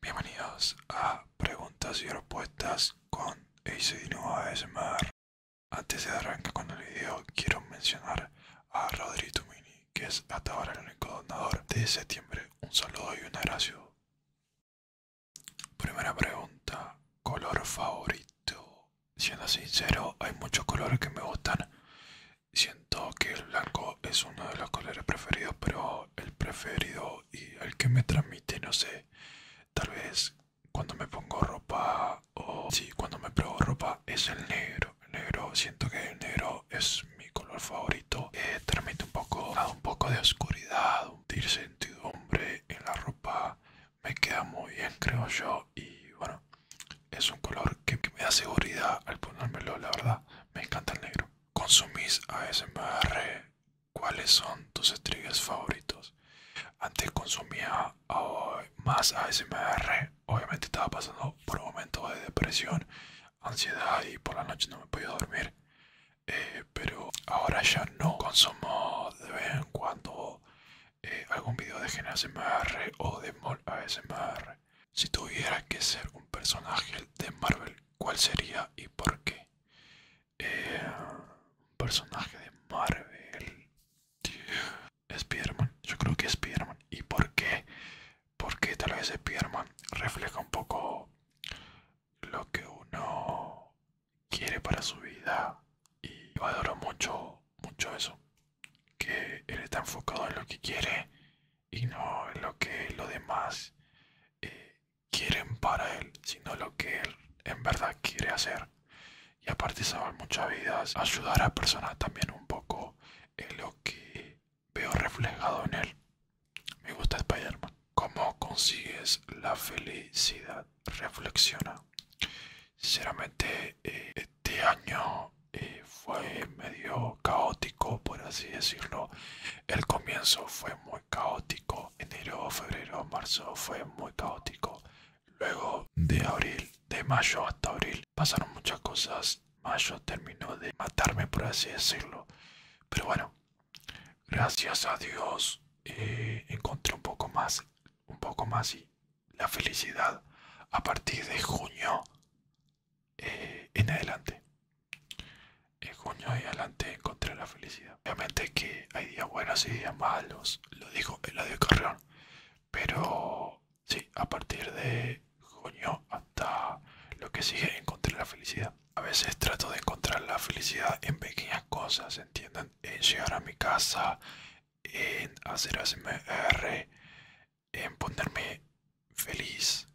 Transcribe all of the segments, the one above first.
Bienvenidos a preguntas y respuestas con Eiseino ASMR. Antes de arrancar con el video, quiero mencionar a Roderito Mini que es hasta ahora el único donador de septiembre. Un saludo y un abrazo. Primera pregunta, color favorito. Siendo sincero, hay muchos colores que me gustan. Siento que el blanco es uno de los colores preferidos, pero el preferido y el que me transmite, no sé, tal vez cuando me pongo ropa o si cuando me pruebo ropa es el negro. El negro, siento que el negro es mi color favorito favorito eh, un poco poco de oscuridad, sentir hombre en la ropa. Me queda muy bien, creo yo. Y bueno, es un color que, me da seguridad al ponérmelo, la verdad. Me encanta el negro. ¿Consumís ASMR? ¿Cuáles son tus estrellas favoritos? Antes consumía oh, más ASMR. Obviamente estaba pasando por momentos de depresión, ansiedad y por la noche no me podía dormir. Eh, pero ahora ya no consumo de vez en cuando eh, algún video de Gen o de Mol ASMR. Si tuviera que ser un personaje de Marvel, ¿cuál sería y por qué? Eh, un personaje de Marvel. Spiderman, yo creo que Spiderman. ¿Y por qué? Porque tal vez Spiderman refleja un poco lo que uno quiere para su vida y yo adoro mucho, mucho eso, que él está enfocado en lo que quiere y no en lo que los demás eh, quieren para él, sino lo que él en verdad quiere hacer. Y aparte salvar muchas vidas, ayudar a personas también un poco en lo que veo reflejado en él. Me gusta Spiderman Como ¿Cómo consigues la felicidad? Reflexiona. Sinceramente, eh, este año eh, fue medio caótico, por así decirlo. El comienzo fue muy caótico. Enero, febrero, marzo fue muy caótico. Luego de abril, de mayo hasta abril, pasaron muchas cosas. Mayo terminó de matarme, por así decirlo. Pero bueno, gracias a Dios eh, encontré un poco más, un poco más y la felicidad a partir de junio eh, en adelante. En junio y adelante encontré la felicidad. Obviamente que hay días buenos y días malos, lo dijo Eladio Carrion pero sí, a partir de coño, hasta lo que sigue, encontrar la felicidad. A veces trato de encontrar la felicidad en pequeñas cosas, ¿entienden? En llegar a mi casa, en hacer ASMR, en ponerme feliz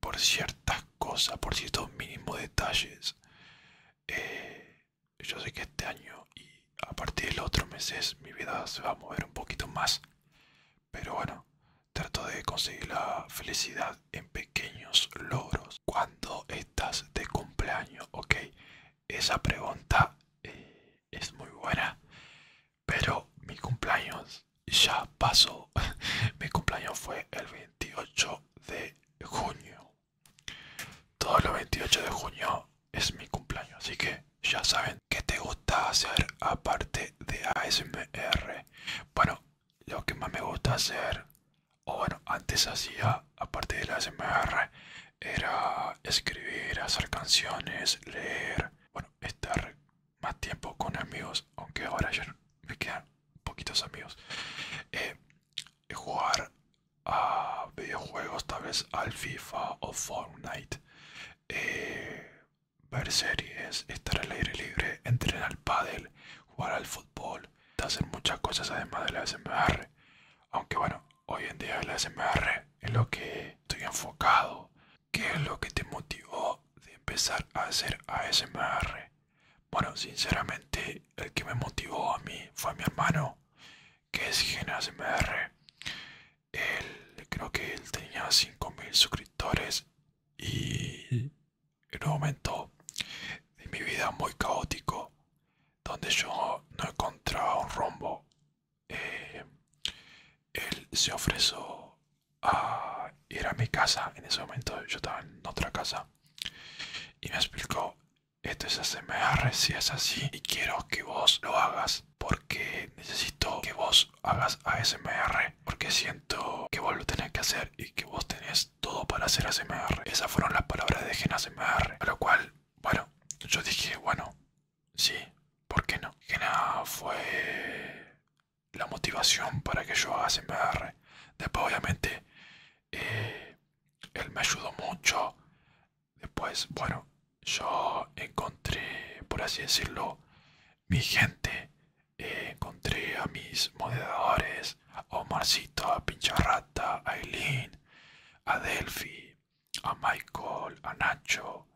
por ciertas cosas, por ciertos mínimos detalles. Eh, yo sé que este año y a partir del otro mes mi vida se va a mover un poquito más pero bueno, trato de conseguir la felicidad en pequeños logros. Cuando estás de cumpleaños, ok, esa pregunta eh, es muy buena, pero mi cumpleaños ya pasó. mi cumpleaños fue el 28 de junio. Todo los 28 de junio es mi cumpleaños, así que ya saben qué te gusta hacer aparte de ASMR. Bueno, lo que más me gusta hacer, o bueno, antes hacía, aparte de la SMR, era escribir, hacer canciones, leer, bueno, estar más tiempo con amigos, aunque ahora ya me quedan poquitos amigos, eh, jugar a videojuegos, tal vez al FIFA o Fortnite, eh, ver series, estar al aire libre, entrenar al pádel, jugar al fútbol, hacer muchas cosas además de la SMR. Aunque bueno, hoy en día la SMR es lo que estoy enfocado. ¿Qué es lo que te motivó de empezar a hacer ASMR? Bueno, sinceramente, el que me motivó a mí fue mi hermano, que es de ASMR. Él creo que él tenía 5.000 suscriptores y en un momento de mi vida muy caótico donde yo no encontraba un rumbo eh, él se ofreció a ir a mi casa en ese momento yo estaba en otra casa y me explicó esto es ASMR si es así y quiero que vos lo hagas porque necesito que vos hagas ASMR, porque siento que vos lo tenés que hacer y que vos tenés todo para hacer ASMR. Esas fueron las palabras de Gen ASMR, a lo cual, bueno, yo dije, bueno, sí, ¿por qué no? Gena fue la motivación para que yo haga ASMR. Después, obviamente, eh, él me ayudó mucho. Después, bueno, yo encontré, por así decirlo, mi gente, eh, encontré a mis moderadores, a Omarcito, a Pincharrata, a Eileen, a Delphi, a Michael, a Nacho.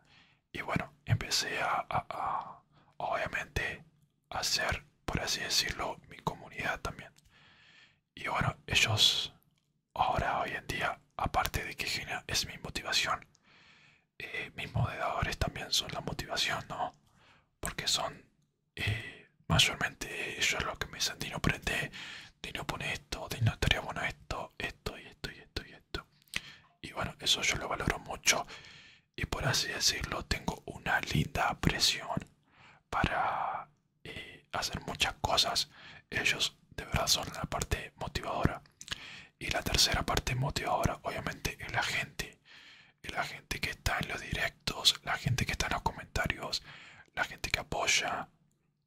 Y bueno, empecé a, obviamente, a hacer, por así decirlo, mi comunidad también. Y bueno, ellos ahora, hoy en día, aparte de que Gina es mi motivación, eh, mis moderadores también son la motivación, ¿no? Porque son eh, mayormente ellos los que me dicen, Dino, prende, Dino, pone esto, Dino, estaría bueno esto, esto y esto y esto y esto. Y bueno, eso yo lo valoro mucho y por así decirlo, tengo una linda presión para eh, hacer muchas cosas. Ellos de verdad son la parte motivadora. Y la tercera parte motivadora, obviamente, es la gente. Es la gente que está en los directos, la gente que está en los comentarios, la gente que apoya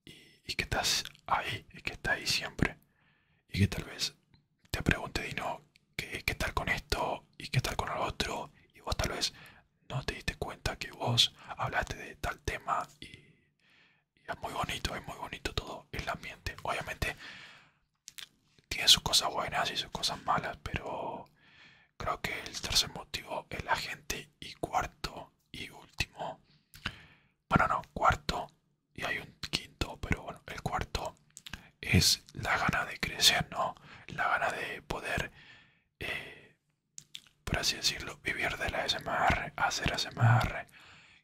y, que estás ahí, y que está ahí siempre. Y que tal vez te pregunte, Dino, ¿qué, qué tal con esto? ¿Y qué tal con el otro? Y vos tal vez no te diste cuenta que vos hablaste de tal tema y es muy bonito, es muy bonito todo el ambiente. Obviamente tiene sus cosas buenas y sus cosas malas, pero creo que el tercer motivo es la gente y cuarto y último, bueno no, cuarto y hay un quinto, pero bueno, el cuarto es la gana de crecer, ¿no? La gana de poder, eh, por así decirlo, vivir de la SMR, hacer SMR,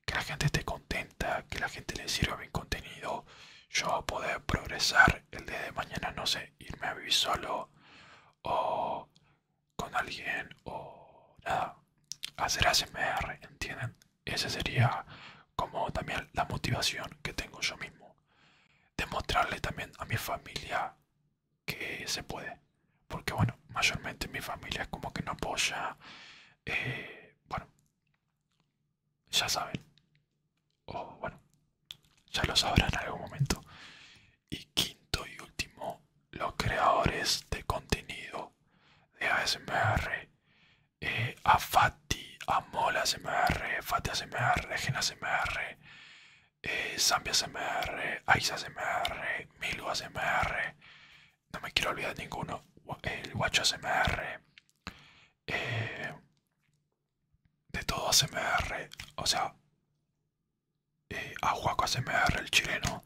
que la gente esté contenta, que la gente le sirva bien contenido, yo poder progresar el día de mañana, no sé, irme a vivir solo o con alguien o nada, hacer ASMR, ¿entienden? Esa sería como también la motivación que tengo yo mismo. Demostrarle también a mi familia que se puede. Porque bueno, mayormente mi familia como que no apoya. Eh, bueno, ya saben, o bueno, ya lo sabrán en algún momento. Y quinto y último, los creadores de contenido de ASMR, eh, a Fati, a Mola ASMR, Fati ASMR, ASMR, eh, Zambia ASMR, Aiza ASMR, Milu ASMR, no me quiero olvidar ninguno. El guacho SMR. Eh, de todo ACMR, O sea. Eh, a Juaco ACMR, el chileno.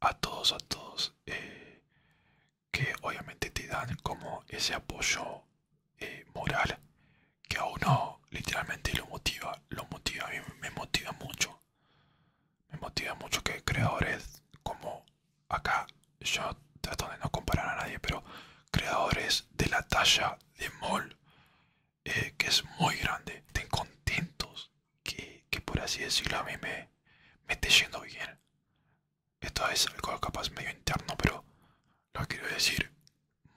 A todos, a todos. Eh, que obviamente te dan como ese apoyo moral. Que a uno literalmente lo motiva. Lo motiva. A mí me motiva mucho me motiva mucho que creadores como acá, yo trato de no comparar a nadie, pero creadores de la talla de Mol, eh, que es muy grande, estén contentos que, que por así decirlo a mí me, me esté yendo bien. Esto es algo capaz medio interno, pero lo quiero decir.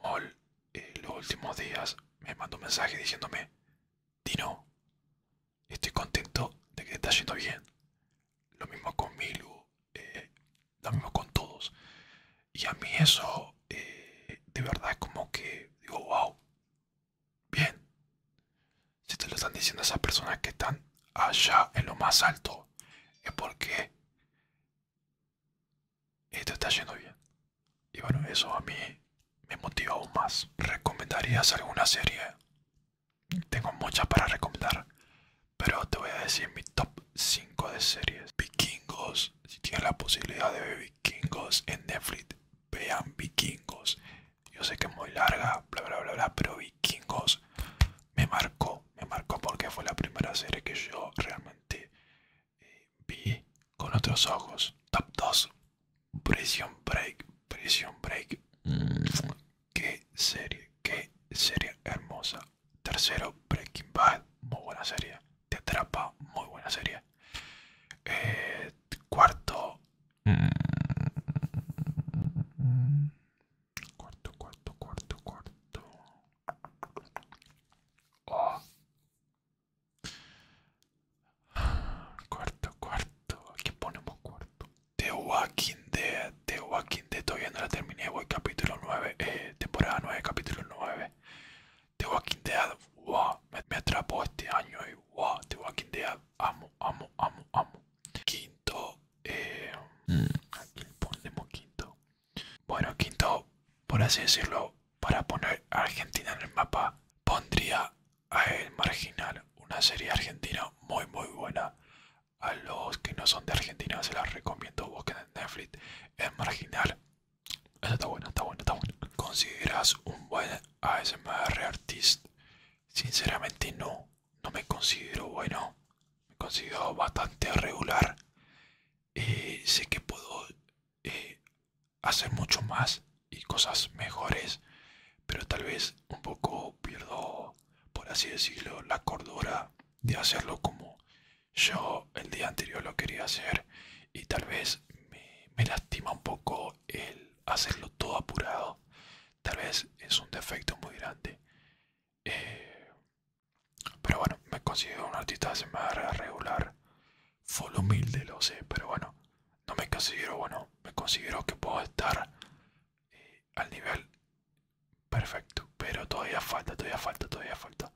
Mol, en eh, los últimos días me mandó un mensaje diciéndome, Dino, estoy contento de que está yendo bien. Lo mismo con Milu, eh, lo mismo con todos. Y a mí eso, eh, de verdad, es como que digo, wow, bien. Si te lo están diciendo esas personas que están allá en lo más alto, es porque esto está yendo bien. Y bueno, eso a mí me motiva aún más. ¿Recomendarías alguna serie? Tengo muchas para recomendar, pero te voy a decir mi top 5 de series. Vikingos, si tienes la posibilidad de ver Vikingos en Netflix, vean Vikingos. Yo sé que es muy larga, bla bla bla pero Vikingos me marcó, me marcó porque fue la primera serie que yo realmente eh, vi con otros ojos. Top 2, Presión Break, Prisión Break. Qué serie, qué serie hermosa. Tercero, Breaking Bad, muy buena serie. Te atrapa, muy buena serie. cuarto, cuarto, cuarto, cuarto, cuarto. Cuarto, cuarto. Aquí ponemos cuarto. de Walking Dead. The Walking Dead. Todavía no la terminé. Voy capítulo 9. Eh, temporada 9, capítulo 9. The Walking Dead. Me, atrapó este año. Y The Walking Dead. Amo, amo, amo, amo. Quinto. Eh, aquí ponemos quinto. Bueno, quinto. Por así decirlo. Para poner Argentina en el mapa. Pondría a El Marginal, una serie argentina muy muy buena. A los que no son de Argentina se las recomiendo, busquen en Netflix El Marginal. Eso está bueno, está bueno, está bueno. ¿Consideras un buen ASMR artist? Sinceramente no, no me considero bueno. Me considero bastante regular. Eh, sé que puedo eh, hacer mucho más y cosas mejores, pero tal vez un poco pierdo, por así decirlo, la cordura de hacerlo como yo el día anterior lo quería hacer y tal vez me, lastima un poco el hacerlo todo apurado. Tal vez es un defecto muy grande. Eh, pero bueno, me considero un artista de semana regular. Full humilde, lo sé, pero bueno, no me considero bueno, me considero que puedo estar eh, al nivel perfecto, pero todavía falta, todavía falta, todavía falta.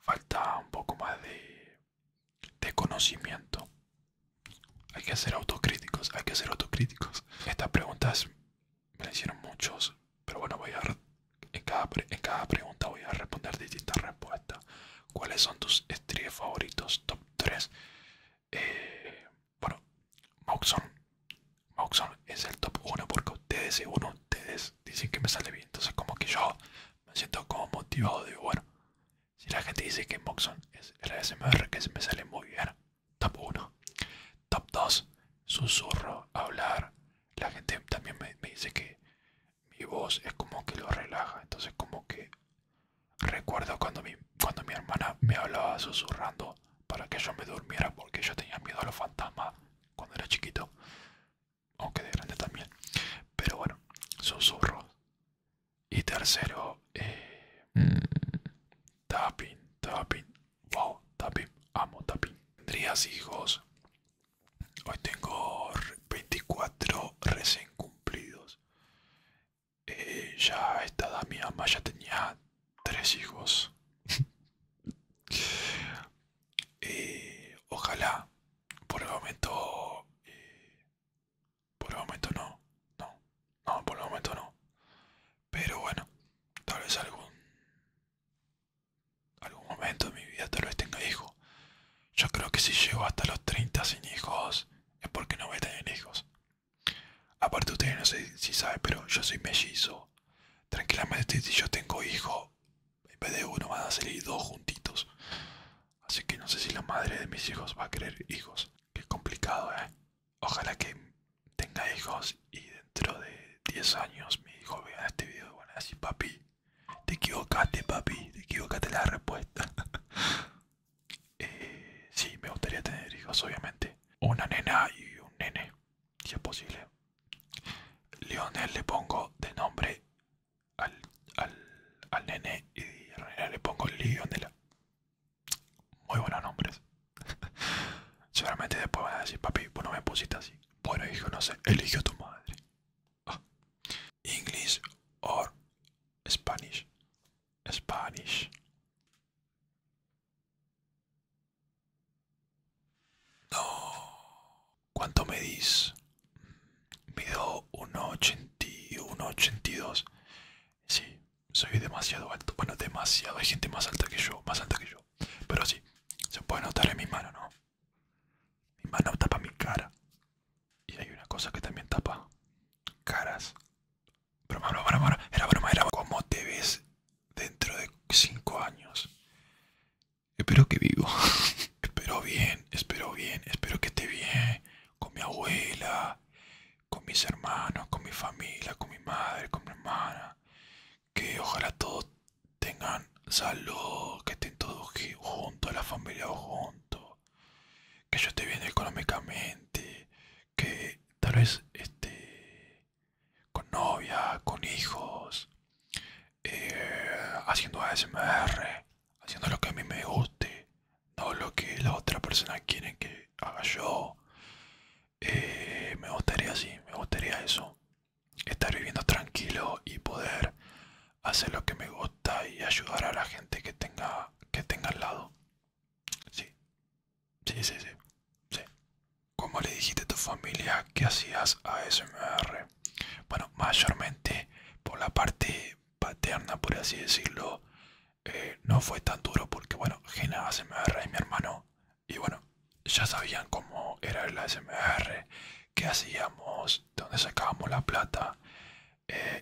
Falta un poco más de, conocimiento. Hay que ser autocríticos, hay que ser autocríticos. Estas preguntas me las hicieron muchos, pero bueno, voy a en cada, en cada pregunta voy a responder distintas respuestas. ¿Cuáles son tus estrés favoritos? Top 3. Eh, bueno, Moxon. Moxon es el top 1 porque ustedes, según ustedes, dicen que me sale bien. Entonces, como que yo me siento como motivado. de bueno, si la gente dice que Moxon es el SMR que se me sale muy bien, top 1. Top 2, susurro, hablar. La gente también me dice que mi voz es como que lo relaja. Entonces, como que Recuerdo cuando mi, cuando mi hermana me hablaba susurrando para que yo me durmiera porque yo tenía miedo a los fantasmas cuando era chiquito, aunque de grande también. Pero bueno, susurros. Y tercero, eh, mm, tapping, tapping, wow, tapping, amo tapping. ¿Tendrías hijos? Hoy tengo 24 recién cumplidos. Eh, ya esta mi mamá ya tenía tres hijos. y eh, ojalá, por el momento, eh, por el momento no, no, no, por el momento no. Pero bueno, tal vez algún, algún momento en mi vida tal vez tenga hijos. Yo creo que si llego hasta los 30 sin hijos es porque no voy a tener hijos. Aparte ustedes no sé si saben, pero yo soy mellizo. Tranquilamente si yo tengo hijo, en vez de uno van a salir dos juntitos. Así que no sé si la madre de mis hijos va a querer hijos. Que complicado, eh. Ojalá que tenga hijos y dentro de 10 años mi hijo vea este video y van a decir, papi, te equivocaste, papi, te equivocaste la respuesta. Eh, sí, me gustaría tener hijos, obviamente. Una nena y un nene, si es posible. le pongo de nombre al, al, nene y a le pongo Leonela. Muy buenos nombres. Seguramente después van a decir, papi, bueno me pusiste así. Bueno, hijo, no sé, eligió tu madre. Ah. English or Spanish. Spanish. No. ¿Cuánto me uno Mido 1,81, 1,82. Sí, soy demasiado alto. Bueno, demasiado. Hay gente más alta que yo, más alta que yo. Pero sí, se puede notar en mi mano, ¿no? Mi mano tapa mi cara. Y hay una cosa que también tapa caras. Broma, broma, broma, era broma, era como te ves dentro de 5 años. Espero que vivo. espero bien, espero bien, espero que esté bien. Con mi abuela, con mis hermanos, con mi familia, con mi madre, con mi hermana. Que ojalá todos tengan salud, que estén todos juntos, la familia juntos que yo esté bien económicamente, que tal vez esté con novia, con hijos, eh, haciendo ASMR, haciendo lo que a mí me guste, no lo que la otra persona quieren que haga yo. Eh, me gustaría así, me gustaría eso, estar viviendo tranquilo y poder hacer lo que me gusta y ayudar a la gente que tenga que tenga al lado. Sí. Sí, sí, sí. le dijiste a tu familia que hacías ASMR? Bueno, mayormente por la parte paterna, por así decirlo, eh, no fue tan duro porque, bueno, Gena ASMR es mi hermano y, bueno, ya sabían cómo era el ASMR, qué hacíamos, de dónde sacábamos la plata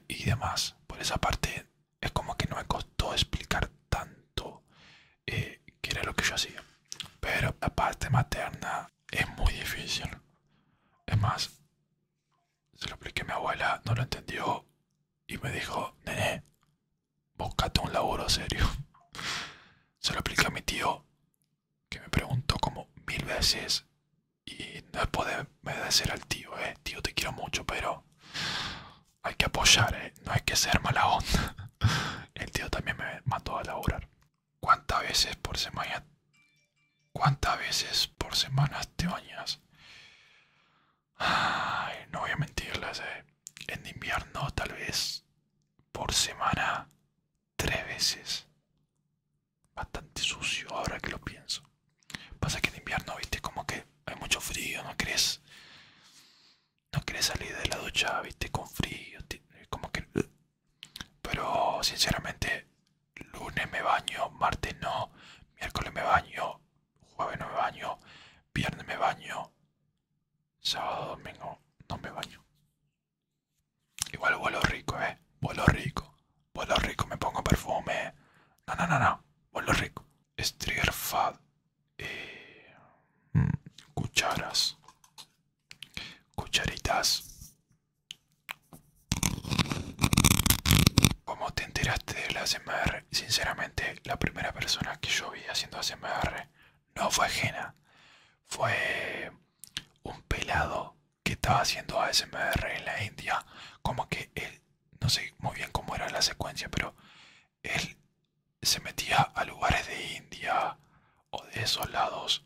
y demás. Por esa parte es como que no me costó explicar tanto eh, qué era lo que yo hacía. Pero la parte materna es muy difícil. Es más, se lo expliqué a mi abuela, no lo entendió y me dijo, nene, búscate un laburo serio. se lo expliqué a mi tío, que me preguntó como mil veces y no es poder ser al tío, eh, tío te quiero mucho, pero hay que apoyar, eh. no hay que ser mala onda. El tío también me mató a laburar. ¿Cuántas veces por semana? ¿Cuántas veces por semana te bañas? no voy a mentirles, eh. En invierno tal vez por semana tres veces bastante sucio ahora que lo pienso. Pasa que en invierno, viste, como que hay mucho frío, no querés, no quieres salir de la ducha, viste, con frío, como que... Pero sinceramente, lunes me baño, martes no, miércoles me baño, jueves no me baño, viernes me baño, sábado, domingo no me baño. Igual vuelo rico, eh. Vuelo rico. Vuelo rico, me pongo perfume. No, no, no, no. Vuelo rico. Strigger Fad. Eh, mm, cucharas. Cucharitas. ¿Cómo te enteraste de la SMR? Sinceramente, la primera persona que yo vi haciendo ASMR no fue ajena. Fue un pelado que estaba haciendo ASMR en la India, como que él, no sé muy bien cómo era la secuencia, pero él se metía a lugares de India o de esos lados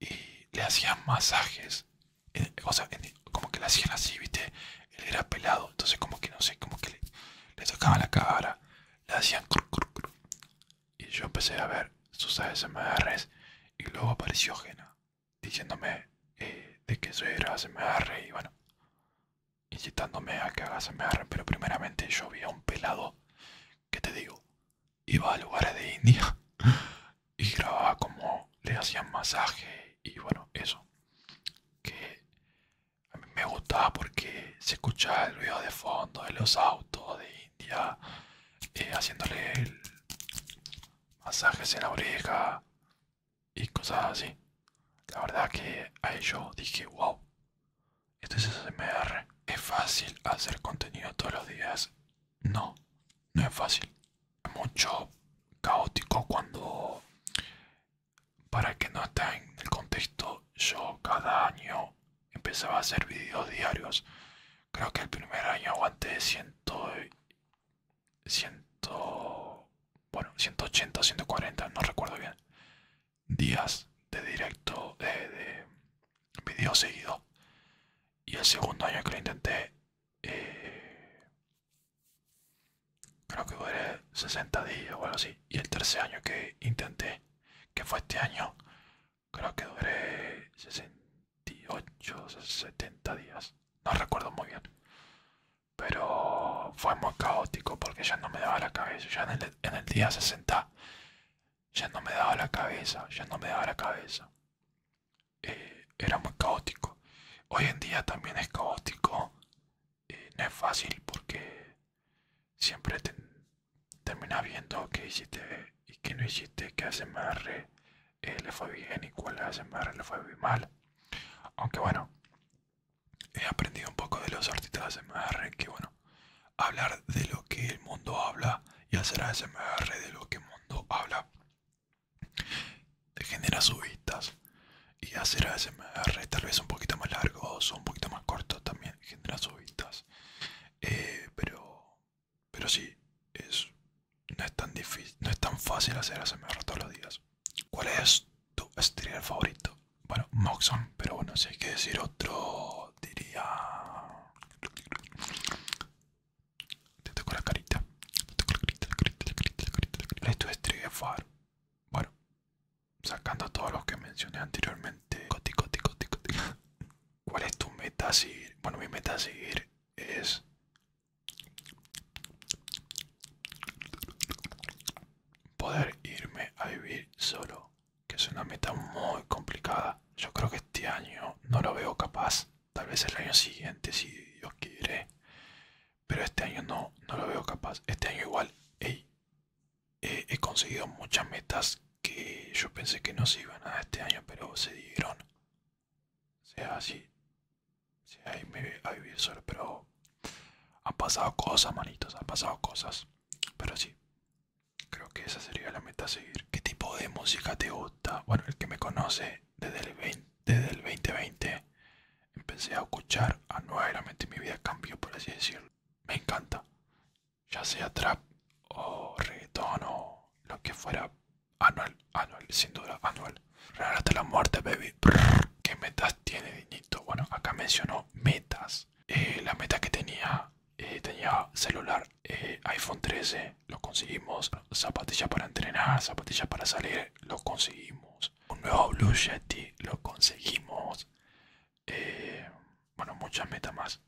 y le hacían masajes, eh, o sea, como que le hacían así, viste, él era pelado, entonces como que no sé, como que le, tocaban la cara, le hacían cru, y yo empecé a ver sus ASMRs y luego apareció Jena diciéndome eh, de que eso era ASMR y bueno, incitándome a que haga ASMR, pero primeramente yo vi a un pelado que te digo, iba a lugares de India y grababa como le hacían masaje y bueno, eso que a mí me gustaba porque se escuchaba el ruido de fondo de los autos, de eh, haciéndole masajes en la oreja y cosas así. La verdad que a ello dije, wow, esto es SMR. ¿Es fácil hacer contenido todos los días? No, no es fácil. Es mucho caótico cuando, para que no está en el contexto, yo cada año empezaba a hacer videos diarios Creo que el primer año aguanté 100, 100 bueno, 180, 140, no recuerdo bien. Días de directo, de, video seguido. Y el segundo año que lo intenté, eh, creo que fueron 60 días o algo así. Y el tercer año que intenté, que fue este año, creo que duré 68 70 días no recuerdo muy bien pero fue muy caótico porque ya no me daba la cabeza ya en el, día 60 ya no me daba la cabeza ya no me daba la cabeza eh, era muy caótico hoy en día también es caótico eh, no es fácil porque siempre te, termina viendo qué hiciste y qué no hiciste, qué ASMR eh, le fue bien y cuál ASMR le fue mal. Aunque bueno, he aprendido un poco de los artistas ASMR que bueno, hablar de lo que el mundo habla y hacer ASMR de lo que el mundo habla de genera subidas y hacer ASMR tal vez un poquito más largo o un poquito más cortos también genera subitas eh, pero pero sí, es, no, es tan difícil, no es tan fácil hacer ASMR todos los días. ¿Cuál es tu streamer favorito? Bueno, Moxon, pero bueno, si hay que decir otro, diría... Te toco la carita. Te toco la carita, la carita, la carita, la carita. Bueno, sacando todos los que mencioné anteriormente. Coti, ¿Cuál es tu meta a seguir? Bueno, mi meta a seguir es... Poder irme a vivir solo, que es una meta muy complicada. Yo creo que este año no lo veo capaz. Tal vez el año siguiente, si Dios quiere. Pero este año no, no lo veo capaz. Este año igual he, he conseguido muchas metas que yo pensé que no se iban a este año, pero se dieron. sea, así sea ahí me a vivir solo, pero han pasado cosas, manitos, han pasado cosas. Pero sí, creo que esa sería la meta seguir. ¿Qué tipo de música te gusta? Bueno, el que me conoce desde el, desde el 2020 empecé a escuchar a nuevamente mi vida cambió, por así decirlo. Me encanta, ya sea trap o reggaeton o lo que fuera. Anual, anual, sin duda, anual. Real hasta la muerte, baby. ¿Qué metas tiene Dinito? Bueno, acá mencionó metas. Eh, la meta que tenía, eh, tenía celular, eh, iPhone 13, lo conseguimos. Zapatilla para entrenar, zapatillas para salir, lo conseguimos. Un nuevo Blue jetty lo conseguimos. bueno, muchas metas más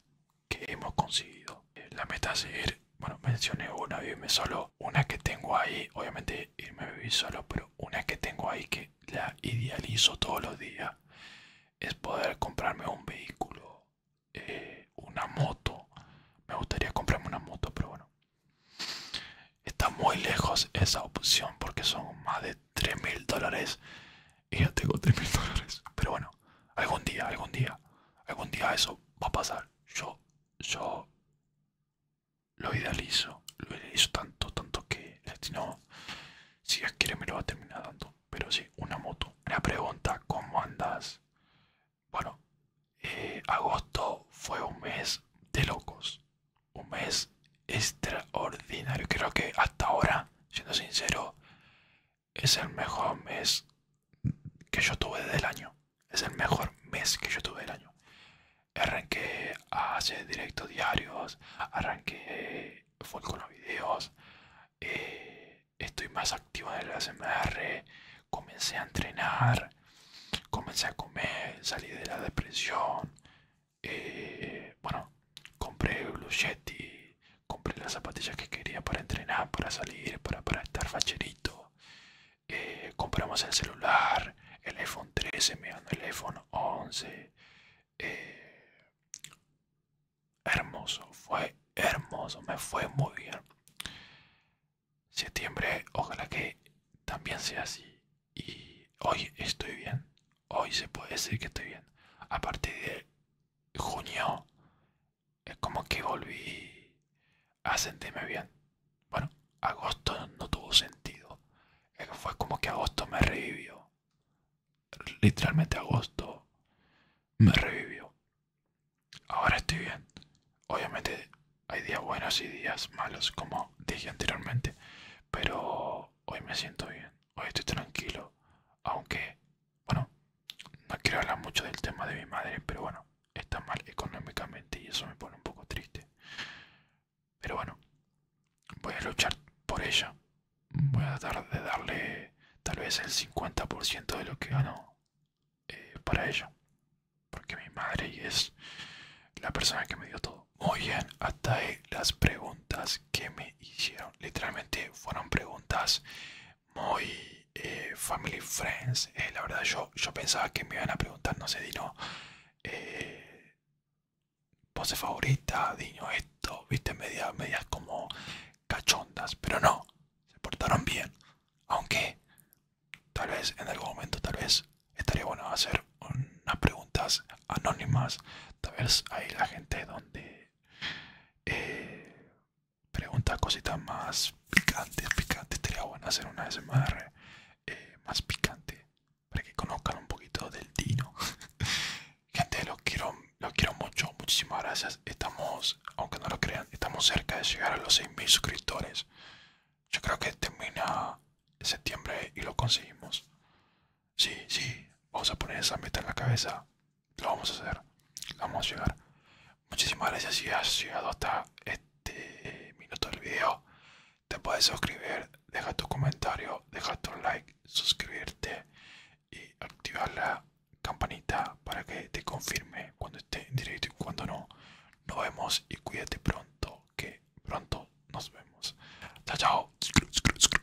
que hemos conseguido. Eh, la meta es ir, bueno, mencioné una, vivirme solo. Una que tengo ahí, obviamente irme a vivir solo, pero una que tengo ahí que la idealizo todos los días es poder comprarme un vehículo, eh, una moto. Me gustaría comprarme una moto, pero bueno. Está muy lejos esa opción porque son más de 3000 mil dólares y ya tengo 3.000 mil dólares. Pero bueno, algún día, algún día, algún día eso va a pasar. Yo, yo lo idealizo, lo idealizo tanto, tanto que no, si ya quiere me lo va a terminar dando. Pero sí, una moto. Una pregunta, ¿cómo andas? Bueno, eh, agosto fue un mes de locos. Un mes extraordinario. Creo que hasta ahora, siendo sincero, es el mejor mes que yo tuve del año. Es el mejor mes que yo tuve del año. Arranqué a hacer directos diarios, arranqué fue con los videos, eh, estoy más activo en el ASMR, comencé a entrenar, comencé a comer, salí de la depresión. Eh, bueno, compré Bluchetti, compré las zapatillas que quería para entrenar, para salir, para, estar facherito. Eh, compramos el celular, el iPhone 13, me el iPhone 11. Eh, hermoso, fue hermoso, me fue muy bien. Septiembre, ojalá que también sea así. Y hoy estoy bien, hoy se puede decir que estoy bien. A partir de junio es como que volví a sentirme bien. Bueno, agosto no tuvo sentido. Fue como que agosto me revivió. Literalmente agosto me revivió. Ahora estoy bien. Obviamente hay días buenos y días malos, como dije anteriormente. Pero hoy me siento bien. Hoy estoy tranquilo. Aunque bueno, no quiero hablar mucho del tema de mi madre, pero bueno, está mal económicamente y eso me pone un poco triste. Pero bueno, voy a luchar por ella. Voy a tratar de darle tal vez el 50% de lo que gano eh, para ella. Porque mi madre es la persona que me dio todo. Muy bien, hasta ahí las preguntas que me hicieron. Literalmente fueron preguntas muy eh, family friends. Eh, la verdad yo, yo pensaba que me iban a preguntar, no sé, Dino, pose eh, favorita, Dino, esto, viste, medias, medias como cachondas, pero no, se portaron bien. Aunque tal vez en algún momento, tal vez estaría bueno hacer unas preguntas anónimas. Tal vez ahí la gente donde eh, pregunta cositas más picantes, picantes. Estaría bueno hacer una SMR eh, más picante para que conozcan un poquito del Dino. Gente, lo quiero, Lo quiero mucho. Muchísimas gracias. Estamos, aunque no lo crean, estamos cerca de llegar a los 6.000 suscriptores. Yo creo que termina septiembre y lo conseguimos. Sí, sí, vamos a poner esa meta en la cabeza. Lo vamos a hacer. Vamos a llegar. Muchísimas gracias si has llegado hasta este minuto del video. Te puedes suscribir, deja tu comentario, deja tu like, suscribirte y activar la campanita para que te confirme cuando esté en directo y cuando no. Nos vemos y cuídate pronto, que pronto nos vemos. Chao, chao.